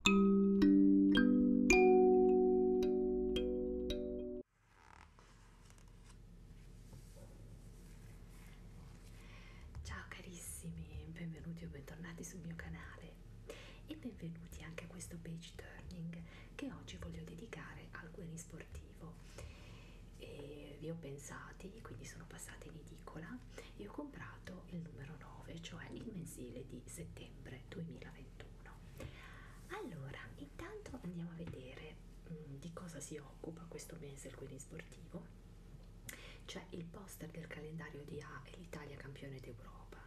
Ciao carissimi, benvenuti o bentornati sul mio canale e benvenuti anche a questo page turning che oggi voglio dedicare al guerri sportivo. E vi ho pensati, quindi sono passata in edicola e ho comprato il numero 9, cioè il mensile di settembre novembre 2021 allora intanto andiamo a vedere mh, mm, di cosa si occupa questo mese il Guidin Sportivo c'è il poster del calendario di A e l'Italia campione d'Europa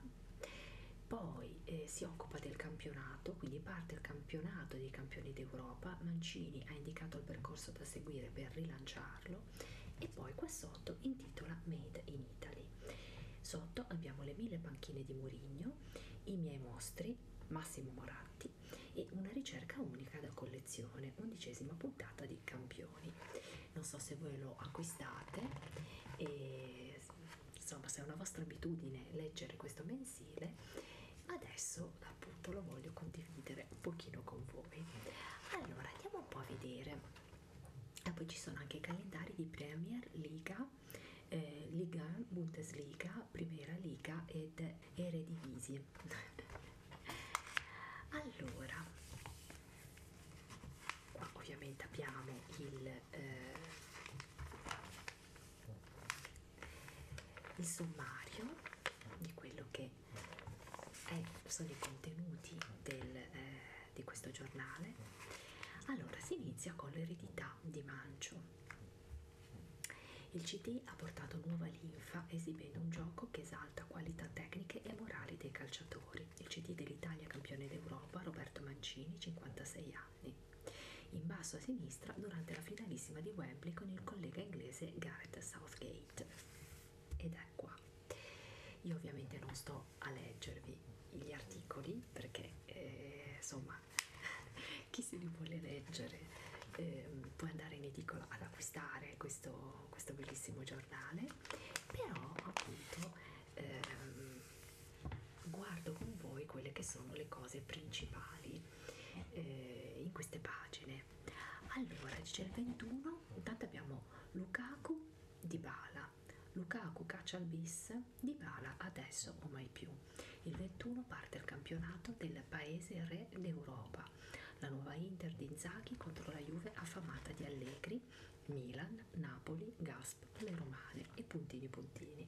poi eh, si occupa del campionato quindi parte il campionato dei campioni d'Europa Mancini ha indicato il percorso da seguire per rilanciarlo e poi qua sotto intitola Made in in Italy. Sotto abbiamo le mille panchine di Murigno, i miei mostri, Massimo Moratti e una ricerca unica da collezione, undicesima puntata di Campioni. Non so se voi lo acquistate e insomma se è una vostra abitudine leggere questo mensile, adesso appunto lo voglio condividere un pochino con voi. Allora andiamo un po' a vedere e poi ci sono anche i calendari di Premier, Liga, eh, Liga, Bundesliga, Primera Liga ed Eredivisie. allora, qua ovviamente abbiamo il, eh, il sommario di quello che è, sono i contenuti del... Eh, di questo giornale. Allora, si inizia con l'eredità di Mancio. Il CD ha portato nuova linfa esibendo un gioco che esalta qualità tecniche e morali dei calciatori. Il CD dell'Italia campione d'Europa Roberto Mancini, 56 anni. In basso a sinistra durante la finalissima di Wembley con il collega inglese Gareth Southgate. Ed è qua. Io ovviamente non sto a leggervi gli articoli perché eh, insomma chi se li vuole leggere eh, può andare in edicola ad acquistare questo, questo bellissimo giornale, però appunto eh, guardo con voi quelle che sono le cose principali eh, in queste pagine. Allora, c'è il 21, intanto abbiamo Lukaku di Bala, a Lukaku caccia al bis, Dybala adesso o mai più. Il 21 parte il campionato del paese re d'Europa. La nuova Inter di Inzaghi contro la Juve affamata di Allegri, Milan, Napoli, Gasp, le Romane e puntini puntini.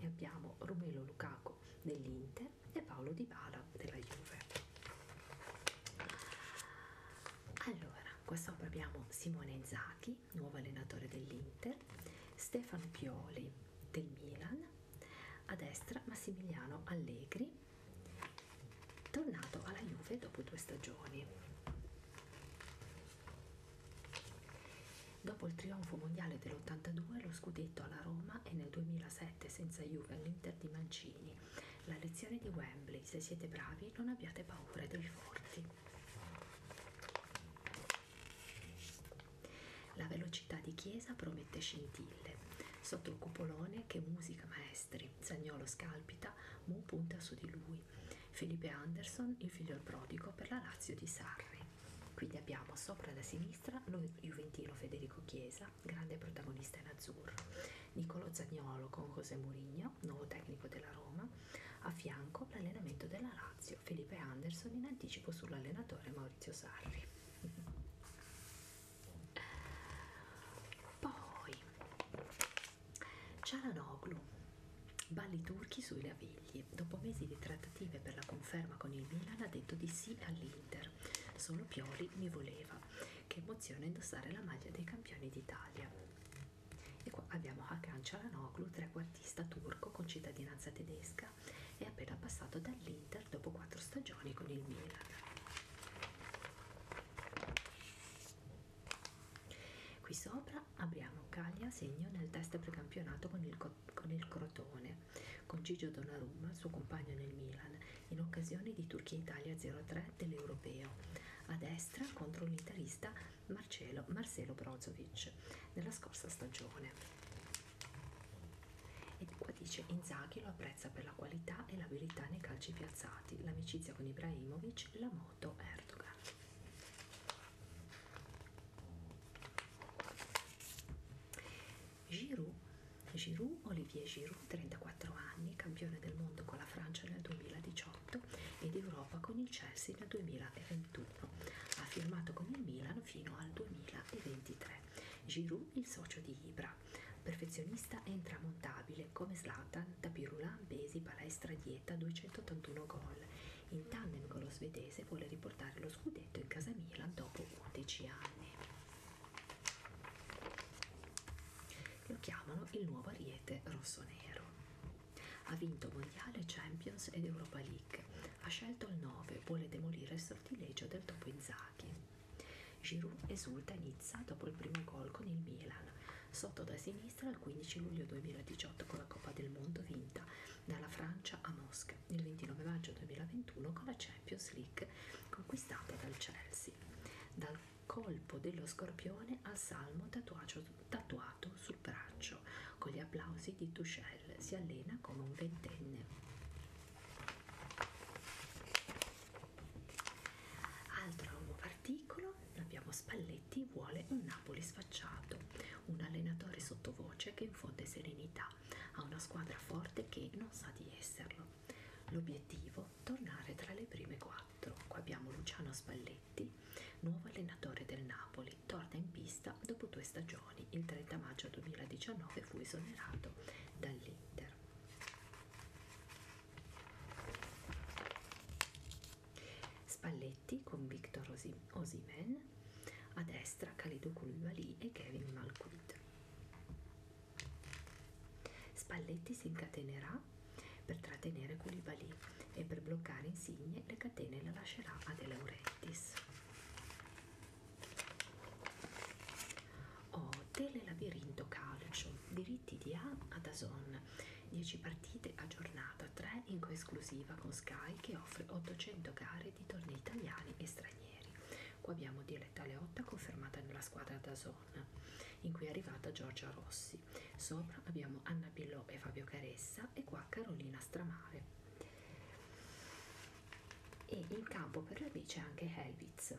E abbiamo Romelo Lukaku dell'Inter e Paolo Dybala della Juve. Allora, qua sopra abbiamo Simone Inzaghi, nuovo allenatore dell'Inter, Stefano Pioli del Milan, a destra Massimiliano Allegri, tornato alla Juve dopo due stagioni. Dopo il trionfo mondiale dell'82, lo scudetto alla Roma e nel 2007 senza Juve all'Inter di Mancini, la lezione di Wembley, se siete bravi non abbiate paura dei forti. La velocità di Chiesa promette scintille. Sotto il cupolone, che musica maestri, Zagnolo scalpita, Mu punta su di lui. Felipe Anderson, il figlio prodigo per la Lazio di Sarri. Quindi abbiamo sopra da sinistra lo Juventino Federico Chiesa, grande protagonista in azzurro, Niccolo Zagnolo con José Mourinho, nuovo tecnico della Roma, a fianco l'allenamento della Lazio, Felipe Anderson in anticipo sull'allenatore Maurizio Sarri. Poi Cialanoglu, balli turchi sui lavigli. Dopo mesi di trattative per la conferma con il Milan ha detto di sì all'Inter. Solo Pioli mi voleva. Che emozione indossare la maglia dei campioni d'Italia. E qua abbiamo Hakan Cialanoglu, trequartista turco con cittadinanza tedesca e appena passato dall'Inter dopo quattro stagioni con il Milan. Qui sopra abbiamo Caglia segno nel test precampionato con il, con il Crotone, con Gigio Donnarumma, suo compagno nel Milan, in occasione di Turchia-Italia 0-3 dell'Europeo, a destra contro l'Italista Marcelo, Marcelo Brozovic nella scorsa stagione. E qua dice Inzaghi lo apprezza per la qualità e l'abilità nei calci piazzati, l'amicizia con Ibrahimovic, la moto Erdogan. Giroud, Giroud, Olivier Giroud, 34 anni, campione del mondo con la Francia nel 2018 2018 ed Europa con il Chelsea nel 2021. Ha firmato con il Milan fino al 2023. Giroud, il socio di Ibra, perfezionista e intramontabile come Zlatan, Tapirula, Besi, Palestra, Dieta, 281 gol. In tandem con lo svedese vuole riportare lo scudetto in casa Milan dopo 11 anni. Lo chiamano il nuovo ariete rosso-nero. Ha vinto Mondiale, Champions ed Europa League. Ha scelto il 9, vuole demolire il sortilegio del topo Inzaghi. Giroud esulta a Nizza dopo il primo gol con il Milan, sotto da sinistra il 15 luglio 2018 con la Coppa del Mondo vinta dalla Francia a Mosca, il 29 maggio 2021 con la Champions League conquistata dal Chelsea. Dal colpo dello scorpione al salmo tatuato, tatuato sul braccio. Con gli applausi di Tuchel si allena come un ventenne. Altro nuovo articolo, abbiamo Spalletti vuole un Napoli sfacciato, un allenatore sottovoce che infonde serenità a una squadra forte che non sa di esserlo. L'obiettivo? Tornare tra le prime quattro. Qua abbiamo Luciano Spalletti Spalletti, nuovo allenatore del Napoli, torna in pista dopo due stagioni. Il 30 maggio 2019 fu esonerato dall'Inter. Spalletti con Victor Osimen, a destra Khalidou Koulibaly e Kevin Malquid. Spalletti si incatenerà per trattenere Koulibaly e per bloccare Insigne le catene la lascerà a De Laurentiis. Oh, telelabirinto calcio, diritti di A a Dazon, 10 partite a giornata, 3 in coesclusiva con Sky che offre 800 gare di tornei italiani e stranieri. Qua abbiamo Diletta Leotta confermata nella squadra Dazon, Toscana, in cui è arrivata Giorgia Rossi. Sopra abbiamo Anna Pillò e Fabio Caressa e qua Carolina Stramare. E in campo per la B c'è anche Helvitz.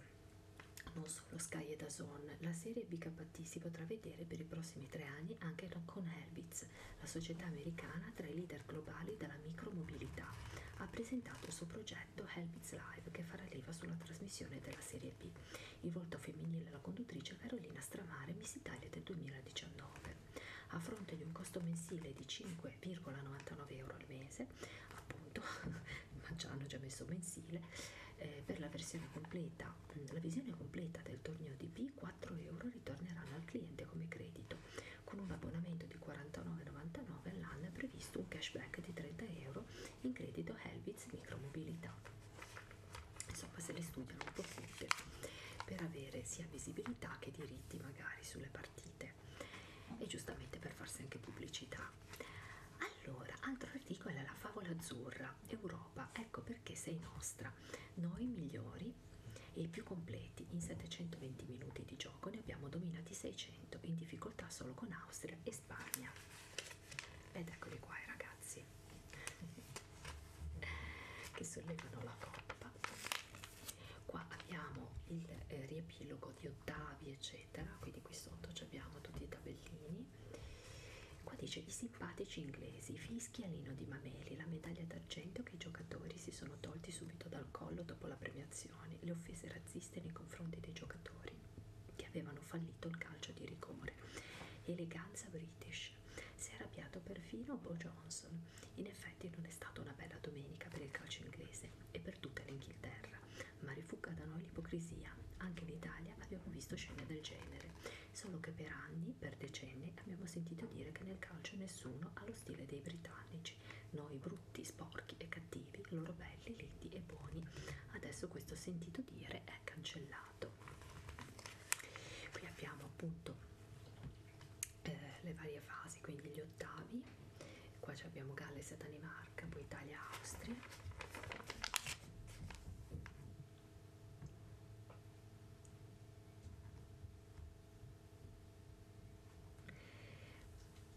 Non solo Sky e Dazon, la serie BKT si potrà vedere per i prossimi tre anni anche con Helvitz, la società americana tra i leader globali della micromobilità. Ha presentato il suo progetto Helvitz Live che farà leva sulla trasmissione della serie B. Il volto femminile della conduttrice Carolina Stramare Miss Italia del 2019. A fronte di un costo mensile di 5,99 euro al mese, appunto, ma già hanno già messo mensile, eh, per la versione completa, mm, la visione completa del torneo DP, 4 euro ritorneranno al cliente come credito. Con un abbonamento di 49,99 all'anno è previsto un cashback di 30 euro in credito Helvitz Micromobilità insomma se le studiano un po' tutte per avere sia visibilità che diritti magari sulle partite e giustamente per farsi anche pubblicità allora altro articolo è la favola azzurra Europa ecco perché sei nostra noi migliori e i più completi in 720 minuti di gioco ne abbiamo dominati 600 in difficoltà solo con Austria e Spagna ed eccoli qua i ragazzi che sollevano la coppa qua abbiamo il eh, riepilogo di ottavi eccetera quindi qui sotto abbiamo tutti i tabellini qua dice i simpatici inglesi fischialino di Mameli la medaglia d'argento che i giocatori si sono tolti subito dal collo dopo la premiazione le offese razziste nei confronti dei giocatori che avevano fallito il calcio di rigore eleganza british Bush. Si è arrabbiato perfino Bo Johnson. In effetti non è stata una bella domenica per il calcio inglese e per tutta l'Inghilterra, ma rifugga da noi l'ipocrisia. Anche in Italia abbiamo visto scene del genere, solo che per anni, per decenni, abbiamo sentito dire che nel calcio nessuno ha lo stile dei britannici. Noi brutti, sporchi e cattivi, loro belli, liti e buoni. Adesso questo sentito dire è cancellato colorato qui abbiamo appunto eh, le varie fasi quindi gli ottavi qua abbiamo Galles e Danimarca poi Italia e Austria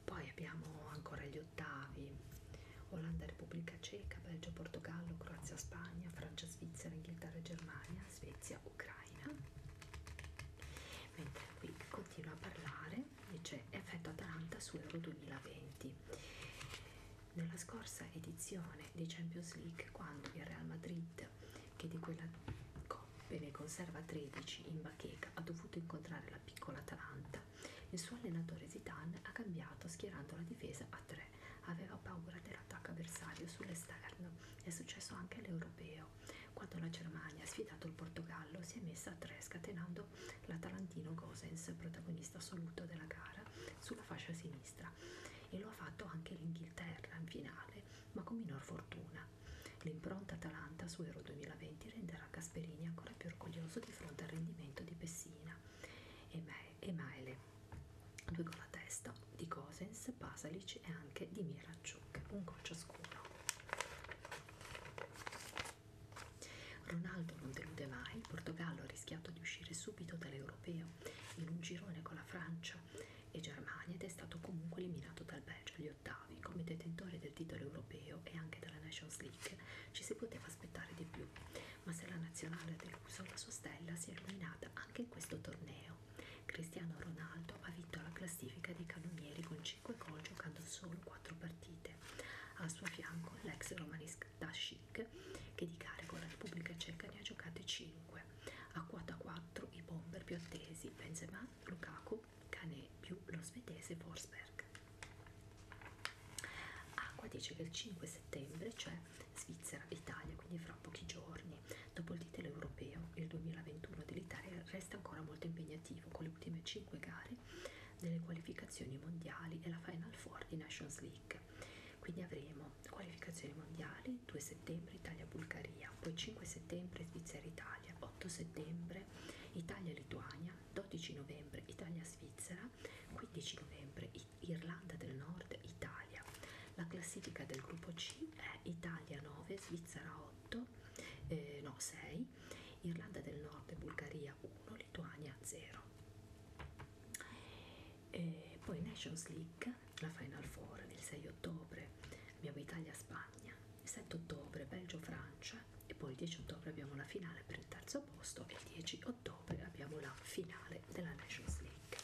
poi abbiamo ancora gli ottavi Olanda, Repubblica Ceca, Belgio, Portogallo, Croazia, Spagna, Francia, Svizzera, Inghilterra, Germania, Svezia, Ucraina. Mentre qui continua a parlare, dice effetto Atalanta su Euro 2020. Nella scorsa edizione di Champions League, quando il Real Madrid, che di quella coppe ne conserva 13 in bacheca, ha dovuto incontrare la piccola Atalanta, il suo allenatore Zidane ha cambiato schierando la difesa a 3 aveva paura dell'attacco avversario sull'esterno. È successo anche all'Europeo, quando la Germania ha sfidato il Portogallo si è messa a tre scatenando l'atalantino Gosens, protagonista assoluto della gara, sulla fascia sinistra e lo ha fatto anche l'Inghilterra in finale, ma con minor fortuna. L'impronta Atalanta su Euro 2020 renderà Gasperini ancora più orgoglioso di fronte al rendimento di Pessina e Maele due con la testa di Cosens, Pasalic e anche di Miranchuk, un gol ciascuno. Ronaldo non delude mai, il Portogallo ha rischiato di uscire subito dall'europeo in un girone con la Francia e Germania ed è stato comunque eliminato dal Belgio agli ottavi. Come detentore del titolo europeo e anche della Nations League ci si poteva aspettare di più, ma se la nazionale del Caruso la sua stella si è illuminata anche in questo torneo. Cristiano Ronaldo ha vinto la classifica dei cannonieri con 5 gol giocando solo 4 partite. Al suo fianco l'ex romanista Dashik che di carico la Repubblica Ceca ne ha giocate 5. A quota 4 i bomber più attesi Benzema, Lukaku, Cane più lo svedese Forsberg. Acqua dice che il 5 settembre, cioè Svizzera, Italia, quindi fra pochi giorni. Dopo il titolo europeo, il 2021 dell'Italia resta ancora molto impegnativo con le ultime 5 gare delle qualificazioni mondiali e la Final Four di Nations League. Quindi avremo qualificazioni mondiali 2 settembre Italia-Bulgaria, poi 5 settembre Svizzera-Italia, 8 settembre Italia-Lituania, 12 novembre Italia-Svizzera, 15 novembre Irlanda del Nord, Italia. La classifica del gruppo C è Italia 9, Svizzera 8, eh, no 6, Irlanda del Nord e Bulgaria 1, Lituania 0. E poi Nations League, la Final Four del 6 ottobre, abbiamo Italia-Spagna, il 7 ottobre Belgio-Francia e poi il 10 ottobre abbiamo la finale per il terzo posto e il 10 ottobre abbiamo la finale della Nations League.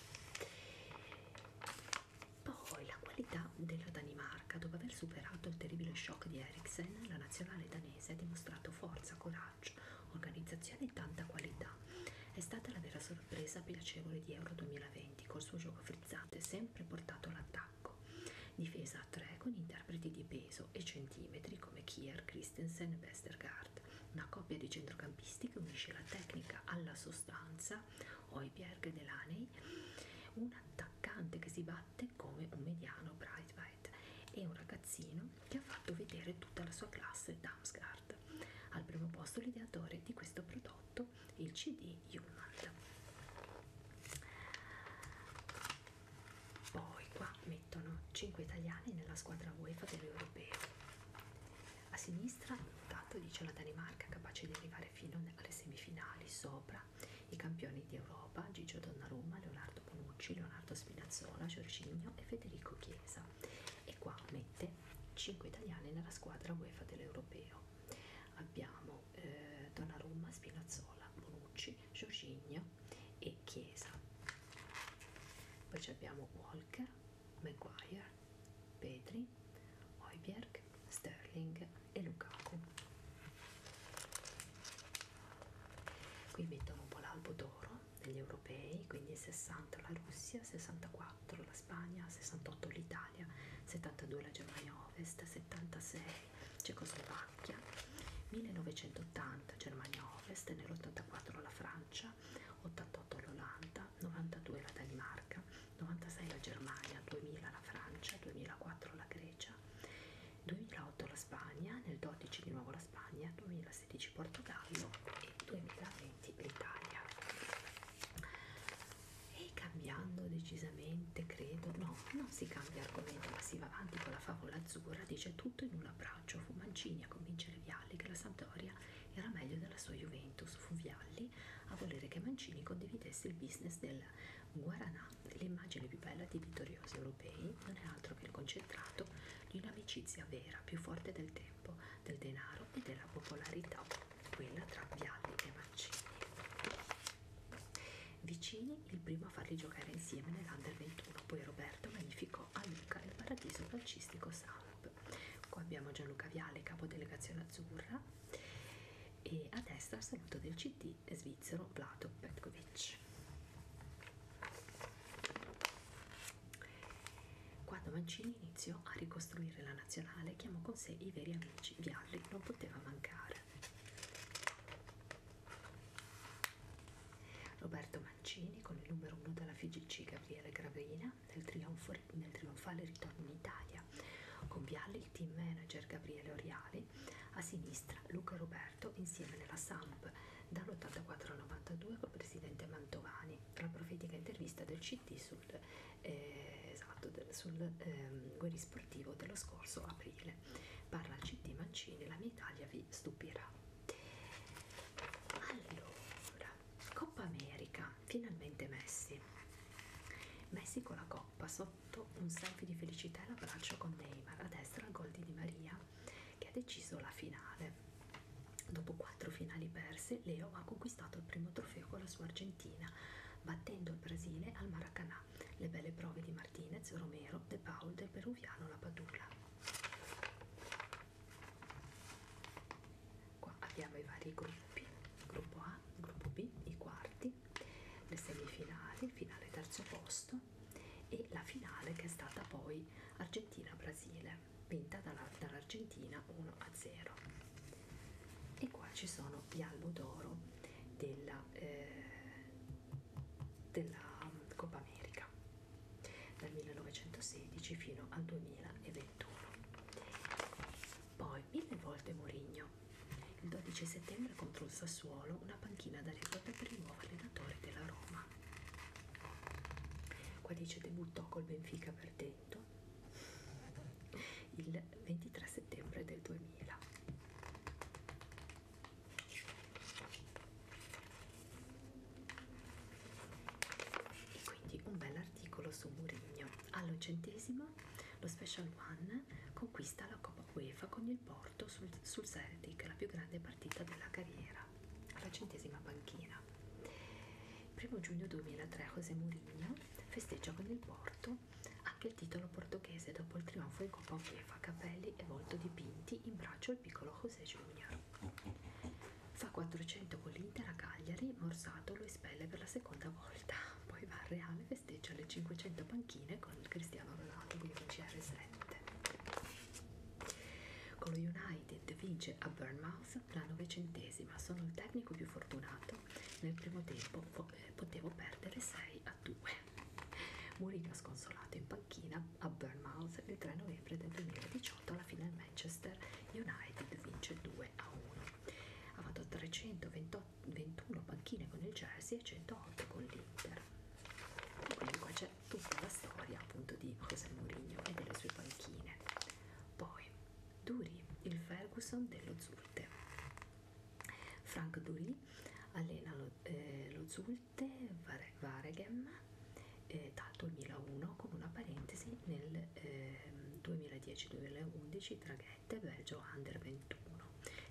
Poi la qualità della Danimarca, dopo aver superato il terribile shock di Eriksen, la nazionale danese ha dimostrato forza, coraggio, organizzazione e tanta qualità. È stata la vera sorpresa piacevole di Euro 2020 col suo gioco frizzato e sempre portato all'attacco. Difesa a tre con interpreti di peso e centimetri come Kier, Christensen e Westergaard. Rijkaard, una coppia di centrocampisti che unisce la tecnica alla sostanza, Hoiberg e Delaney, un attaccante che si batte come un mediano Breitweit e un ragazzino che ha fatto vedere tutta la sua classe Damsgaard. Al primo posto l'ideatore di questo prodotto, il CD Humand. Poi qua mettono 5 italiani nella squadra UEFA dell'Europeo a sinistra, tanto dice la Danimarca, capace di arrivare fino alle semifinali, sopra i campioni di Europa, Gigio Donnarumma, Leonardo Bonucci, Leonardo Spinazzola, Giorginio e Federico Chiesa. E qua mette 5 italiani nella squadra UEFA dell'Europeo. Abbiamo eh, Donnarumma, Spinazzola, Bonucci, Giorginio e Chiesa. Poi abbiamo Walker, Maguire, Petri, Hoiberg, Sterling e Lukaku. Qui mettono un po' l'albo d'oro degli europei, quindi 60 la Russia, 64 la Spagna, 68 l'Italia, 72 la Germania Ovest, 76 Cecoslovacchia, 1980 Germania Ovest, nell'84 la Francia. Francia, 88 l'Olanda, 92 la Danimarca, 96 la Germania, 2000 la Francia, 2004 la Grecia, 2008 la Spagna, nel 2012 di nuovo la Spagna, 2016 Portogallo e 2020 l'Italia. E cambiando decisamente, credo, no, non si cambia argomento, ma si va avanti con la favola azzurra, dice tutto in una brava calcio fu Mancini a convincere Vialli che la Sampdoria era meglio della sua Juventus, fu Vialli a volere che Mancini condividesse il business del Guaranà, l'immagine più bella di vittoriosi europei, non è altro che il concentrato di un'amicizia vera, più forte del tempo, del denaro e della popolarità, quella tra Vialli e Mancini. Vicini, il primo a farli giocare insieme nell'Under 21, poi Roberto magnificò a Luca il paradiso calcistico sano. Cup. Qua abbiamo Gianluca Viale, capo delegazione azzurra, e a destra il saluto del CD svizzero Plato Petkovic. Quando Mancini iniziò a ricostruire la nazionale, chiamò con sé i veri amici. Vialli non poteva mancare. Roberto Mancini con il numero 1 della FIGC Gabriele Graveina nel, trionfo, nel trionfale ritorno in Italia, con Vialli il team manager Gabriele Oriali, a sinistra Luca Roberto insieme nella Samp dall'84 al 92 col presidente Mantovani, la profetica intervista del CT sul, eh, esatto, del, sul eh, guerisportivo dello scorso aprile. Parla il CT Mancini, la mia Italia vi stupirà. Allora, Coppa America, finalmente Messi. Messi con la coppa sotto un selfie di felicità e l'abbraccio con Neymar, a destra il gol di Di Maria che ha deciso la finale. Dopo quattro finali perse, Leo ha conquistato il primo trofeo con la sua Argentina, battendo il Brasile al Maracanà. Le belle prove di Martinez, Romero, De Paul, del Peruviano, la Padula. Qua abbiamo i vari gruppi, gruppo A, gruppo B, i quarti, le semifinali, finale terzo posto e la finale che è stata poi Argentina-Brasile, vinta dall'Argentina 1-0. E qua ci sono gli albo d'oro della, eh, della Coppa America dal 1916 fino al 2021. Poi mille volte Mourinho. Il 12 settembre contro il Sassuolo una panchina d'aneddote per il nuovo allenatore della Roma. Qua dice debuttò col Benfica perdendo il 23 settembre del 2000 e quindi un bel articolo su Murigno all'ottocentesimo lo Special One conquista la Coppa UEFA con il Porto sul, sul Celtic la più grande partita della carriera alla centesima panchina 1 giugno 2003 José Mourinho festeggia con il Porto anche il titolo portoghese dopo il trionfo in Coppa UEFA capelli e volto dipinti in braccio al piccolo José Junior Fa 400 con l'Inter a Cagliari, Morsato lo espelle per la seconda volta, poi va al Reale, festeggia le 500 panchine con il Cristiano Ronaldo, quindi CR7. Con lo United vince a Bournemouth la novecentesima, sono il tecnico più fortunato, nel primo tempo po eh, potevo perdere 6 a 2. Mourinho sconsolato in panchina a Bournemouth il 3 novembre del 2018 alla fine il Manchester United vince 2 a 1 ha fatto 321 panchine con il Jersey e 108 con l'Inter quindi qua c'è tutta la storia appunto di José Mourinho e delle sue panchine poi Duri, il Ferguson dello Zulte Frank Duri allena lo, eh, lo Zulte Vareghem eh, dal 2001 con una parentesi nel eh, 2010-2011 tra Ghette e Belgio Under 21.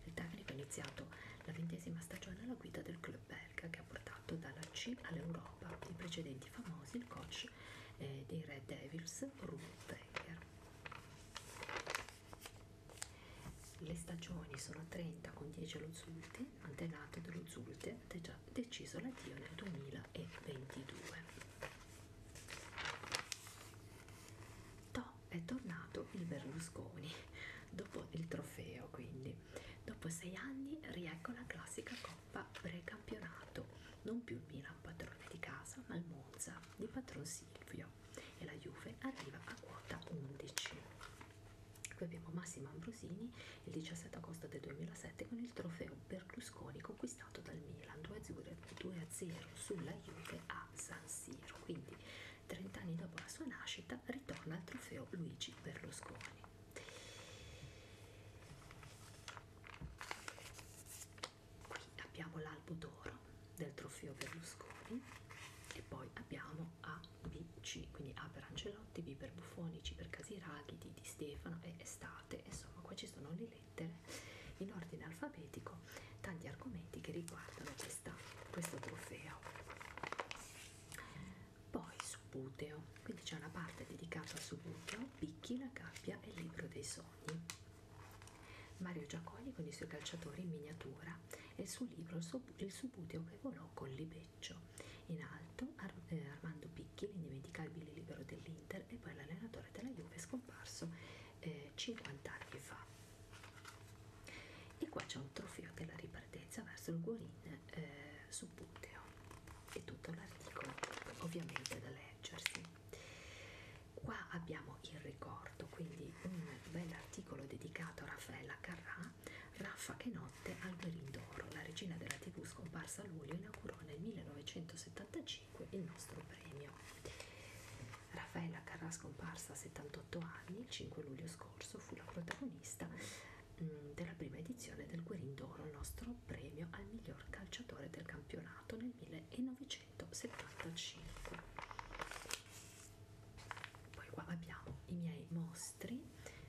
Il tecnico ha iniziato la ventesima stagione alla guida del club belga che ha portato dalla C all'Europa i precedenti famosi il coach eh, dei Red Devils Ruth Wenger. Le stagioni sono 30 con 10 allo Zulte, antenato dello Zulte, ha deciso l'addio nel 2000 2022 To è tornato il Berlusconi dopo il trofeo quindi dopo sei anni riecco la classica coppa precampionato non più il Milan padrone di casa ma il Monza di patron Silvio e la Juve arriva a quota 11 qui abbiamo Massimo Ambrosini il 17 agosto del 2007 con il trofeo Berlusconi conquistato dal Milan 2-0 sulla Juve a San Siro. Quindi 30 anni dopo la sua nascita ritorna al trofeo Luigi Berlusconi. Qui abbiamo l'albo d'oro del trofeo Berlusconi e poi abbiamo ABC, quindi A per Angeloni Prenotti, per Buffonici, per Casiraghi, di Stefano e Estate, insomma qua ci sono le lettere in ordine alfabetico, tanti argomenti che riguardano questa, questo trofeo. Poi Subuteo, quindi c'è una parte dedicata a Subuteo, Picchi, la gabbia e il libro dei sogni. Mario Giaconi con i suoi calciatori in miniatura e il suo libro Il Subuteo che volò con Libero. Viareggio. In alto Ar eh, Armando Picchi, l'indimenticabile libero dell'Inter e poi l'allenatore della Juve scomparso eh, 50 anni fa. E qua c'è un trofeo della ripartenza verso il Guarin eh, su Puteo. E tutto l'articolo ovviamente da leggersi. Qua abbiamo il ricordo, quindi un bel articolo dedicato a Raffaella Carrà, Raffa che non notte al Gherindoro, la regina della tv scomparsa a luglio, inaugurò nel 1975 il nostro premio. Raffaella Carrà scomparsa a 78 anni, il 5 luglio scorso fu la protagonista mh, mm, della prima edizione del Guerindoro, il nostro premio al miglior calciatore del campionato nel 1975. Poi qua abbiamo i miei mostri,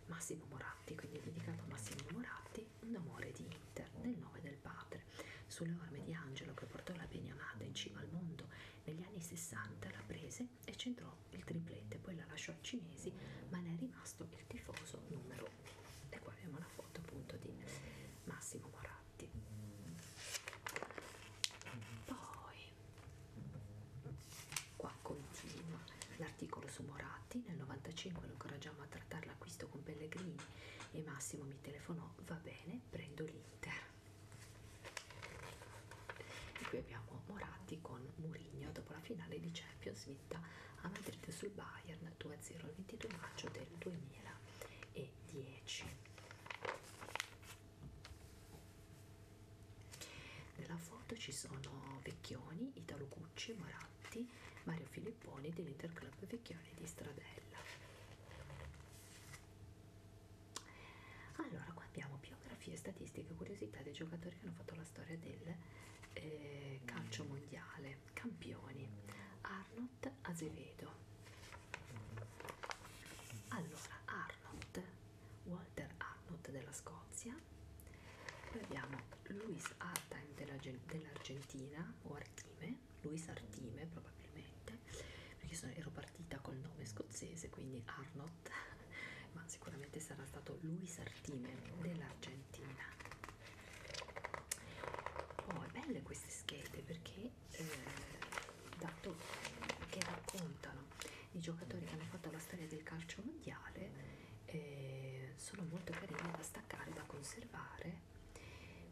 Massimo Moratti, quindi dedicato a Massimo Moratti, che un amore di Inter nel nome del padre. Sulle orme di Angelo che portò la beniamata in cima al mondo, negli anni 60 la prese e centrò il triplete, poi la lasciò ai cinesi, ma ne è rimasto il tifoso numero 1. E qua abbiamo la foto appunto di Massimo Moratti. Poi qua continua l'articolo su Moratti, nel 95 lo incoraggiamo a trattare l'acquisto con Pellegrini e Massimo mi telefonò, va bene, prendo l'Inter. E qui abbiamo Moratti con Mourinho dopo la finale di Champions vinta a Madrid sul Bayern 2-0 il 22 maggio del 2010. Nella foto ci sono Vecchioni, Italo Cucci, Moratti Moratti, Mario Filipponi dell'Interclub Vecchioni di Stradella. Allora, qua abbiamo biografie, statistiche, curiosità dei giocatori che hanno fatto la storia del eh, calcio mondiale. Campioni, Arnold Azevedo. Allora, Arnold, Walter Arnold della Scozia, Spagna, poi abbiamo Luis Artime dell'Argentina o Artime, Luis Artime probabilmente, perché sono, ero partita col nome scozzese, quindi Arnott, ma sicuramente sarà stato Luis Artime dell'Argentina. Oh, è belle queste schede perché eh, dato che raccontano i giocatori che hanno fatto la storia del calcio mondiale eh, sono molto carine da staccare, da conservare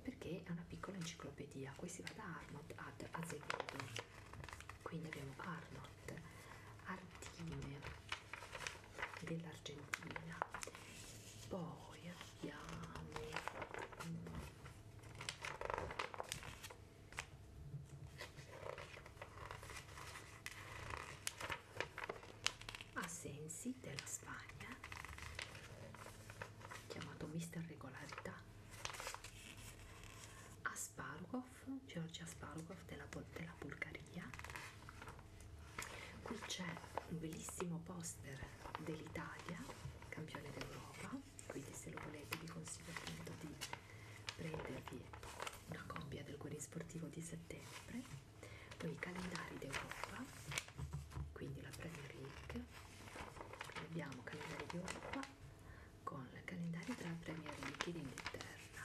perché è una piccola enciclopedia. Qui si va da Arnott ad Azevedo, quindi abbiamo Arnott, Artime dell'Argentina, poi abbiamo mm, Asensi della Spagna, chiamato Mister Regolarità, Aspargov, Giorgia Aspargov della, della Bulgaria. Qui c'è un bellissimo poster dell'Italia, campione d'Europa, quindi se lo volete vi consiglio appunto di prendervi una copia del guerriero sportivo di settembre poi i calendari d'Europa, quindi la Premier League, abbiamo calendari d'Europa con il calendario della Premier League in Inghilterra,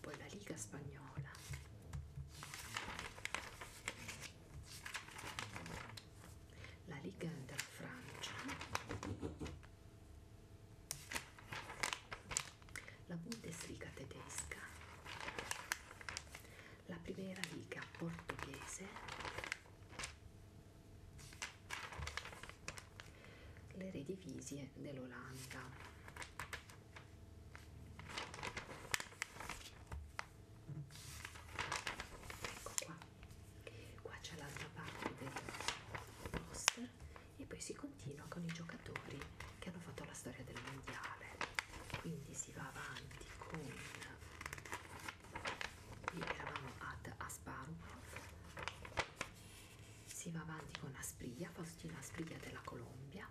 poi la Liga Spagnola, la Liga della Francia la Bundesliga tedesca, la Primera Liga portoghese, le redivisie dell'Olanda. Ecco qua, qua c'è l'altra parte del roster e poi si continua con i giocatori che hanno fatto la storia del mondiale quindi si va avanti con qui eravamo ad Asparupov si va avanti con Aspria, Faustino Aspria della Colombia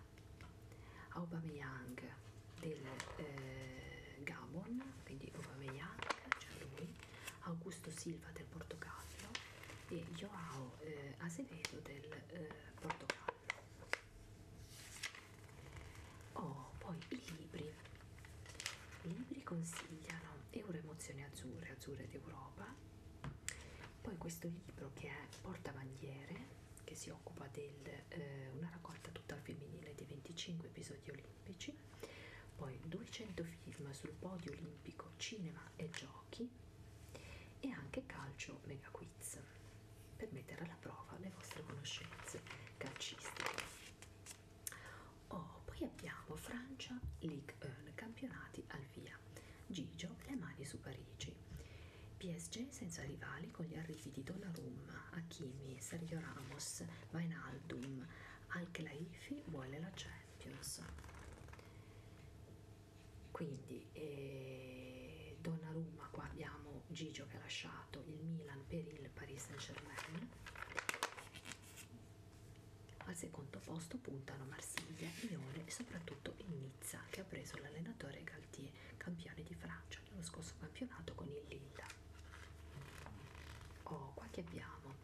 Aubameyang del eh, Gabon quindi Aubameyang c'è cioè lui Augusto Silva del Portogallo e Joao eh, Azevedo del eh, portogallo oh poi i libri i libri consigliano euro emozioni azzurre azzurre d'europa poi questo libro che è portabandiere che si occupa di eh, una raccolta tutta al femminile di 25 episodi olimpici poi 200 film sul podio olimpico cinema e giochi giochi e anche calcio mega quiz per mettere alla prova le vostre conoscenze calcistiche. Oh, poi abbiamo Francia League 1 campionati al via. Gigio le mani su Parigi. PSG senza rivali con gli arrivi di Donnarumma, Hakimi, Sergio Ramos, Vainaldum, Al-Khelaifi vuole la Champions. Quindi eh, Donnarumma, qua abbiamo Gigio che ha lasciato il Milan per il Paris Saint-Germain. Al secondo posto puntano Marsiglia, Lione e soprattutto il Nizza che ha preso l'allenatore Galtier, campione di Francia nello scorso campionato con il Lille. Oh, qua che abbiamo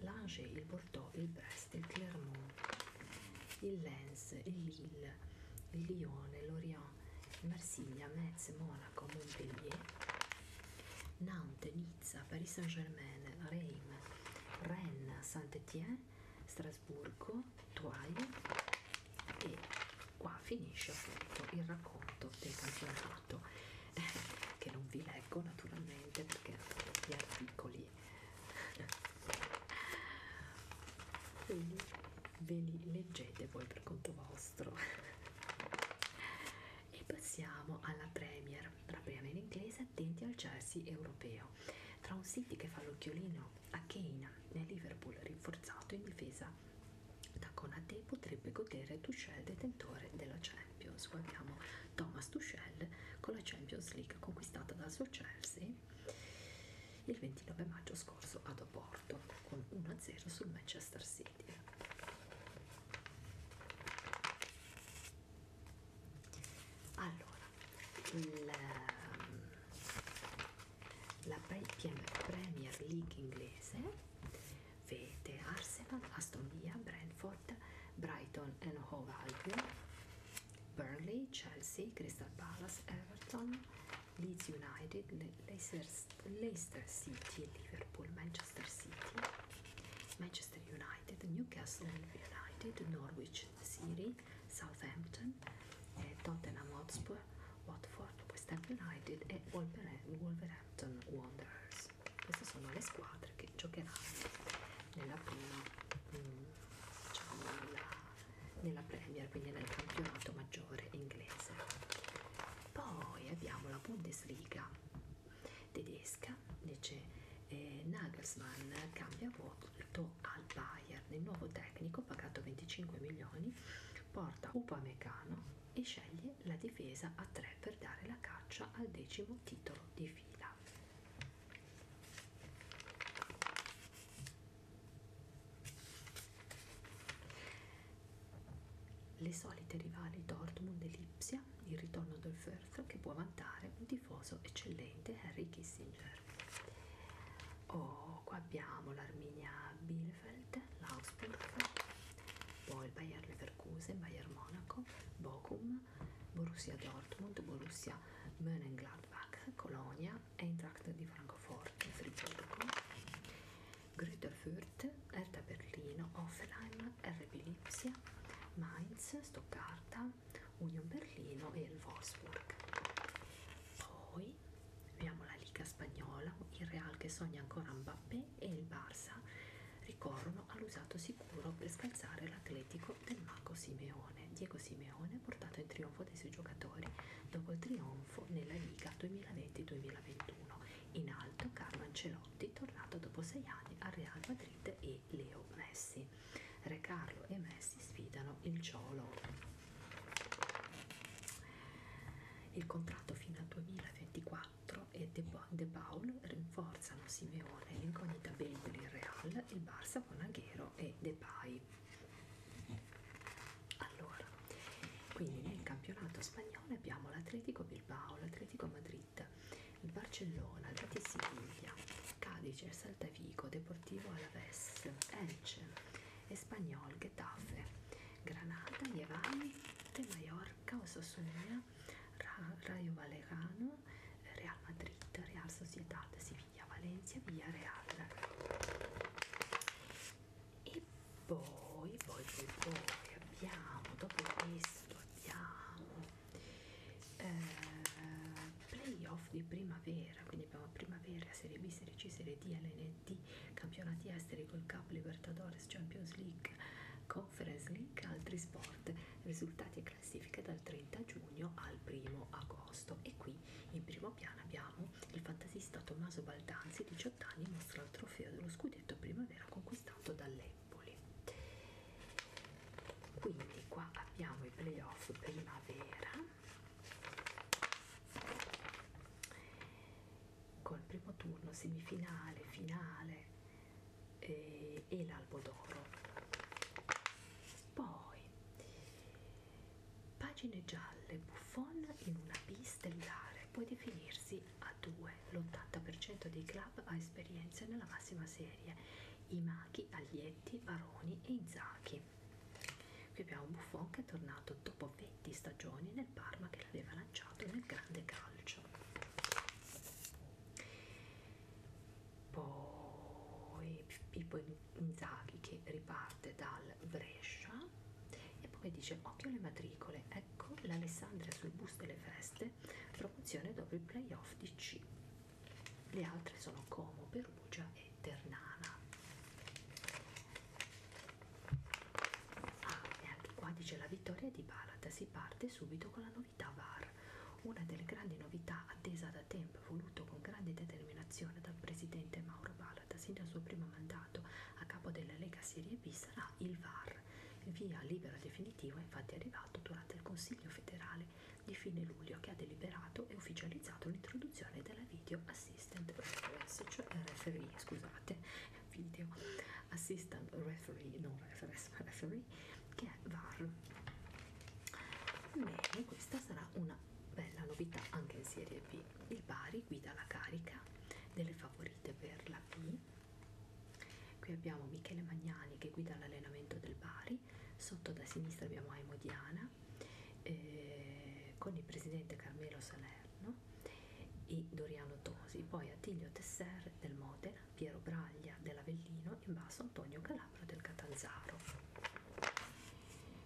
l'Ange, il Bordeaux, il Brest il Clermont, il Lens, il Lille, il Lione, l'Orient, Marsiglia, Metz, Monaco, Montpellier, Nantes, Nizza, Paris Saint-Germain, Reims, Rennes, Saint-Étienne, Strasburgo, Toile e qua finisce appunto il racconto del campionato che non vi leggo naturalmente perché gli articoli lì quindi ve li leggete voi per conto vostro e passiamo alla Premier la Premier inglese attenti al Chelsea europeo tra un City che fa l'occhiolino a Kane nel Liverpool rinforzato in difesa da Conate potrebbe godere Tuchel detentore della Champions guardiamo Thomas Tuchel con la Champions League conquistata dal suo Chelsea il 29 maggio scorso ad Oporto con 1-0 sul Manchester City. Allora, il, ehm, la Premier League inglese vede Arsenal, Aston Villa, Brentford, Brighton e Hove Albion Burnley, Chelsea, Crystal Palace, Everton, Leeds United, Leicester, Leicester City, Liverpool, Manchester City, Manchester United, Newcastle United, Norwich City, Southampton, eh, Tottenham Hotspur, Watford, West Ham United e Wolverhampton Wanderers. Queste sono le squadre che giocheranno nella prima, mm, diciamo, nella nella Premier, quindi nel campionato maggiore inglese. Poi abbiamo la Bundesliga tedesca, dice eh, Nagelsmann cambia voto al Bayern, il nuovo tecnico pagato 25 milioni porta Upamecano e sceglie la difesa a 3 per dare la caccia al decimo titolo di fila. Le solite rivali Dortmund e Lipsia, il ritorno del Firth che può vantare un tifoso eccellente Harry Kissinger. Oh, qua abbiamo l'Arminia Bielefeld, l'Augsburg, poi il Bayer Leverkusen, Bayer Monaco, Bochum, Borussia Dortmund, Borussia Mönchengladbach, Colonia, Eintracht di Francoforte, Friburgo, Grüter Fürth, Hertha Berlino, Offenheim, RB Lipsia, Mainz, Stoccarda, Union Berlino e il Wolfsburg. Poi abbiamo la Liga Spagnola, il Real che sogna ancora Mbappé e il Barça ricorrono all'usato sicuro per scalzare l'Atletico merito del mago Simeone. Diego Simeone ha portato in trionfo dei suoi giocatori dopo il trionfo nella Liga 2020-2021. In alto Carlo Ancelotti, tornato dopo sei anni al Real Madrid e Leo Messi. Re Carlo e Messi sfidano il Ciolo. Il contratto fino al 2024 e De Paul rinforzano Simeone, l'incognita Bale per il Real, il Barça, Bonaghero e Depay. Allora, quindi nel campionato spagnolo abbiamo l'Atletico Bilbao, l'Atletico Madrid, il Barcellona, l'Ati Siviglia, Cadice, il Saltavico, Deportivo Alaves, Elche, Espagnol, Getafe, Granada, Giovanni, De Mallorca, Osasuna, Ra Rayo Vallecano, Real Madrid, Real Sociedad, Siviglia, Valencia, Villareal e poi, poi, poi, poi abbiamo, dopo questo abbiamo eh, playoff di primavera, quindi abbiamo primavera, serie B, serie C, serie D, LND, campionati esteri, Gold Cup, Libertadores, Champions League, Conference League, altri sport, risultati e classifiche dal 30 giugno al 1 agosto e qui in primo piano abbiamo il fantasista Tommaso Baldanzi, 18 anni, mostra il trofeo dello scudetto primavera conquistato dall'Empoli. Quindi qua abbiamo i playoff primavera col primo turno semifinale, finale eh, e l'albo d'oro. Poi Pagine gialle, Buffon in una B stellare può definirsi a due. L'80% dei club ha esperienze nella massima serie, i Machi, Aglietti, Baroni e Inzaghi. Qui abbiamo Buffon che è tornato dopo 20 stagioni nel Parma che l'aveva lanciato nel grande calcio poi Pippo Inzaghi che riparte dal Brescia e poi dice occhio alle matricole, ecco l'Alessandria sul bus delle feste, promozione dopo il playoff di C. Le altre sono Como, Perugia e Ternana. Ah, e anche qua dice la vittoria di Balata, si parte subito con la novità VAR. Una delle grandi novità attesa da tempo e voluto con grande determinazione dal presidente Mauro Balata sin dal suo primo mandato a capo della Lega Serie B sarà il VAR. Via libera definitiva infatti è arrivato durante il Consiglio federale di fine luglio che ha deliberato e ufficializzato l'introduzione della Video Assistant Reference, cioè referee, scusate, Video Assistant Referee, non reference, ma referee, che è VAR. Bene, questa sarà una una bella novità anche in serie B il Bari guida la carica delle favorite per la B qui abbiamo Michele Magnani che guida l'allenamento del Bari sotto da sinistra abbiamo Aimo Diana eh, con il presidente Carmelo Salerno e Doriano Tosi poi Attilio Tesser del Modena Piero Braglia dell'Avellino in basso Antonio Calabro del Catanzaro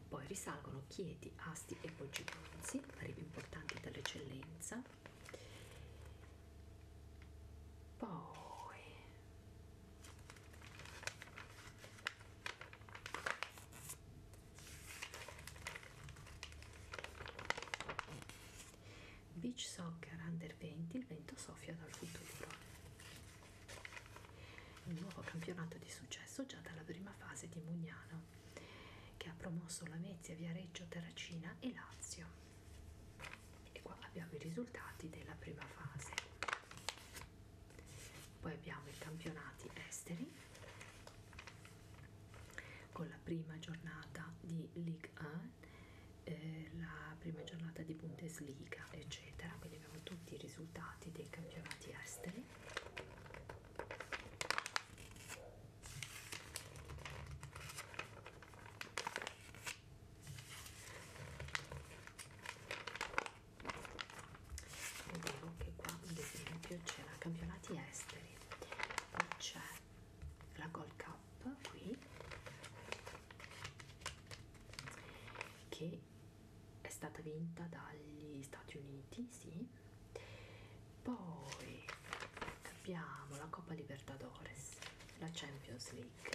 poi risalgono Chieti, Asti e Poggigonzi, arrivi importanti dall'eccellenza. Poi Beach Soccer Under 20, il vento soffia dal futuro. Un nuovo campionato di successo già dalla prima fase di Mugnano, che ha promosso Lamezia, Viareggio, Terracina e Lazio. E qua abbiamo i risultati della prima fase. Poi abbiamo i campionati esteri, con la prima giornata di Ligue 1, eh, la prima giornata di Bundesliga, eccetera. Quindi vediamo tutti i risultati dei campionati esteri vedevo che qua ad esempio c'era campionati esteri poi c'è la Gold Cup qui che è stata vinta dagli Stati Uniti, sì. Poi abbiamo la Coppa Libertadores, la Champions League,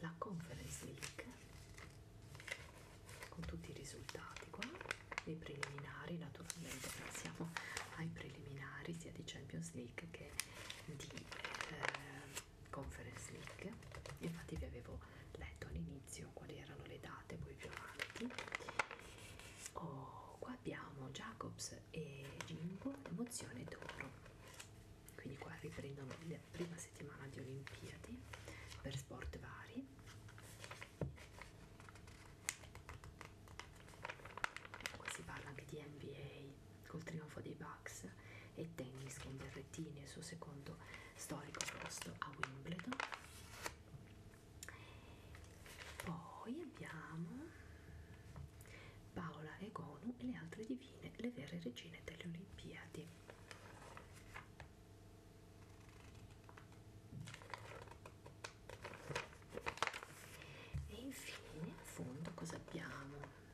la Conference League, con tutti i risultati qua, i preliminari, naturalmente passiamo ai preliminari sia di Champions League che di eh, Conference League, infatti vi avevo letto all'inizio quali erano le date, poi più avanti. Oh, qua abbiamo Jacobs e Jimbo, emozione d'oro. Quindi qua riprendono la prima settimana di Olimpiadi per sport vari. Qua si parla anche di NBA col trionfo dei Bucks e tennis con Berrettini il suo secondo storico posto a Wimbledon poi abbiamo Paola Egonu e le altre divine le vere regine delle Olimpiadi e infine a fondo cosa abbiamo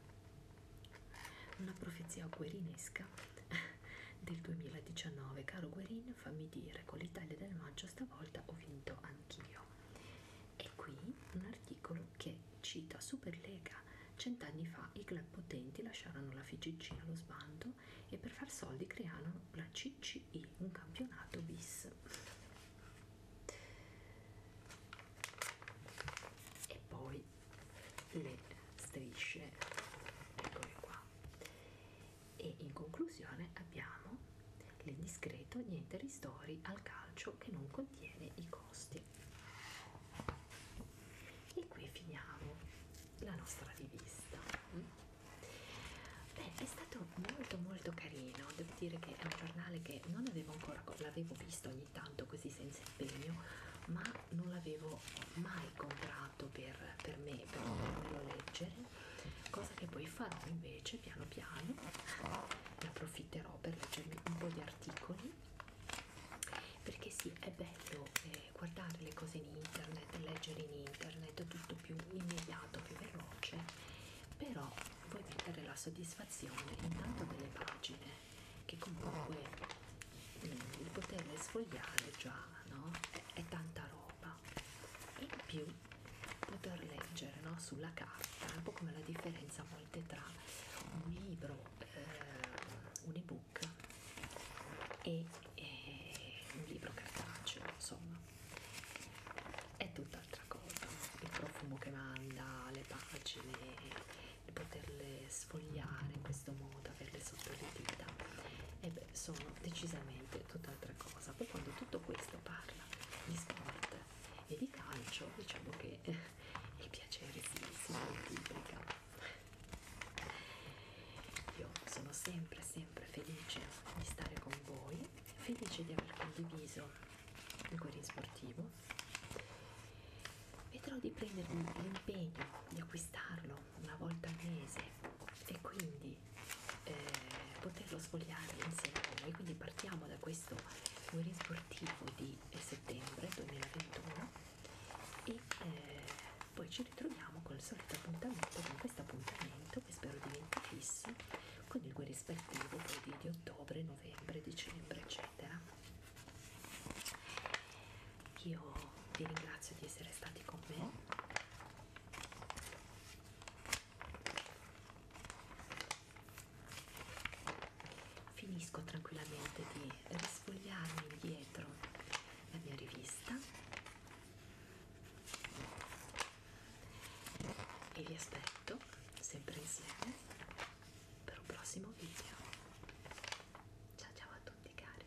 una profezia guerinesca del 2019. Caro Guerin, fammi dire, con l'Italia del maggio stavolta ho vinto anch'io. E qui un articolo che cita Superlega. Cent'anni fa i club potenti lasciarono la FCC allo sbando e per far soldi crearono la CCI, un campionato bis. E poi le strisce eccole qua e in conclusione abbiamo il discreto niente ristori al calcio che non contiene i costi e qui finiamo la nostra rivista Beh, è stato molto molto carino devo dire che è un giornale che non avevo ancora l'avevo visto ogni tanto così senza impegno, ma non l'avevo mai comprato per, per me, per potermelo leggere, cosa che poi farò invece piano piano, ne approfitterò per leggermi un po' di articoli, perché sì, è bello eh, guardare le cose in internet, leggere in internet, tutto più immediato, più veloce, però vuoi mettere la soddisfazione intanto delle pagine che comunque di poterle sfogliare già no? è, è tanta roba in più poter leggere no? sulla carta è un po' come la differenza a volte tra un libro eh, un ebook e eh, un libro cartaceo insomma è tutt'altra cosa il profumo che manda le pagine di poterle sfogliare in questo modo, averle sotto le dita, e beh, sono decisamente tutt'altra cosa. Poi quando tutto questo parla di sport e di calcio, diciamo che eh, il piacere si, si moltiplica. Io sono sempre, sempre felice di stare con voi, felice di aver condiviso il cuore sportivo vedrò di prendermi l'impegno di acquistarlo una volta al mese e quindi eh, poterlo sfogliare insieme a voi quindi partiamo da questo guerin sportivo di eh, settembre 2021 e eh, poi ci ritroviamo col solito appuntamento con questo appuntamento che spero diventi fisso con il guerin sportivo poi di ottobre novembre dicembre eccetera io vi ringrazio di essere stati con me. Finisco tranquillamente di risfogliarmi indietro la mia rivista e vi aspetto sempre insieme per un prossimo video ciao ciao a tutti cari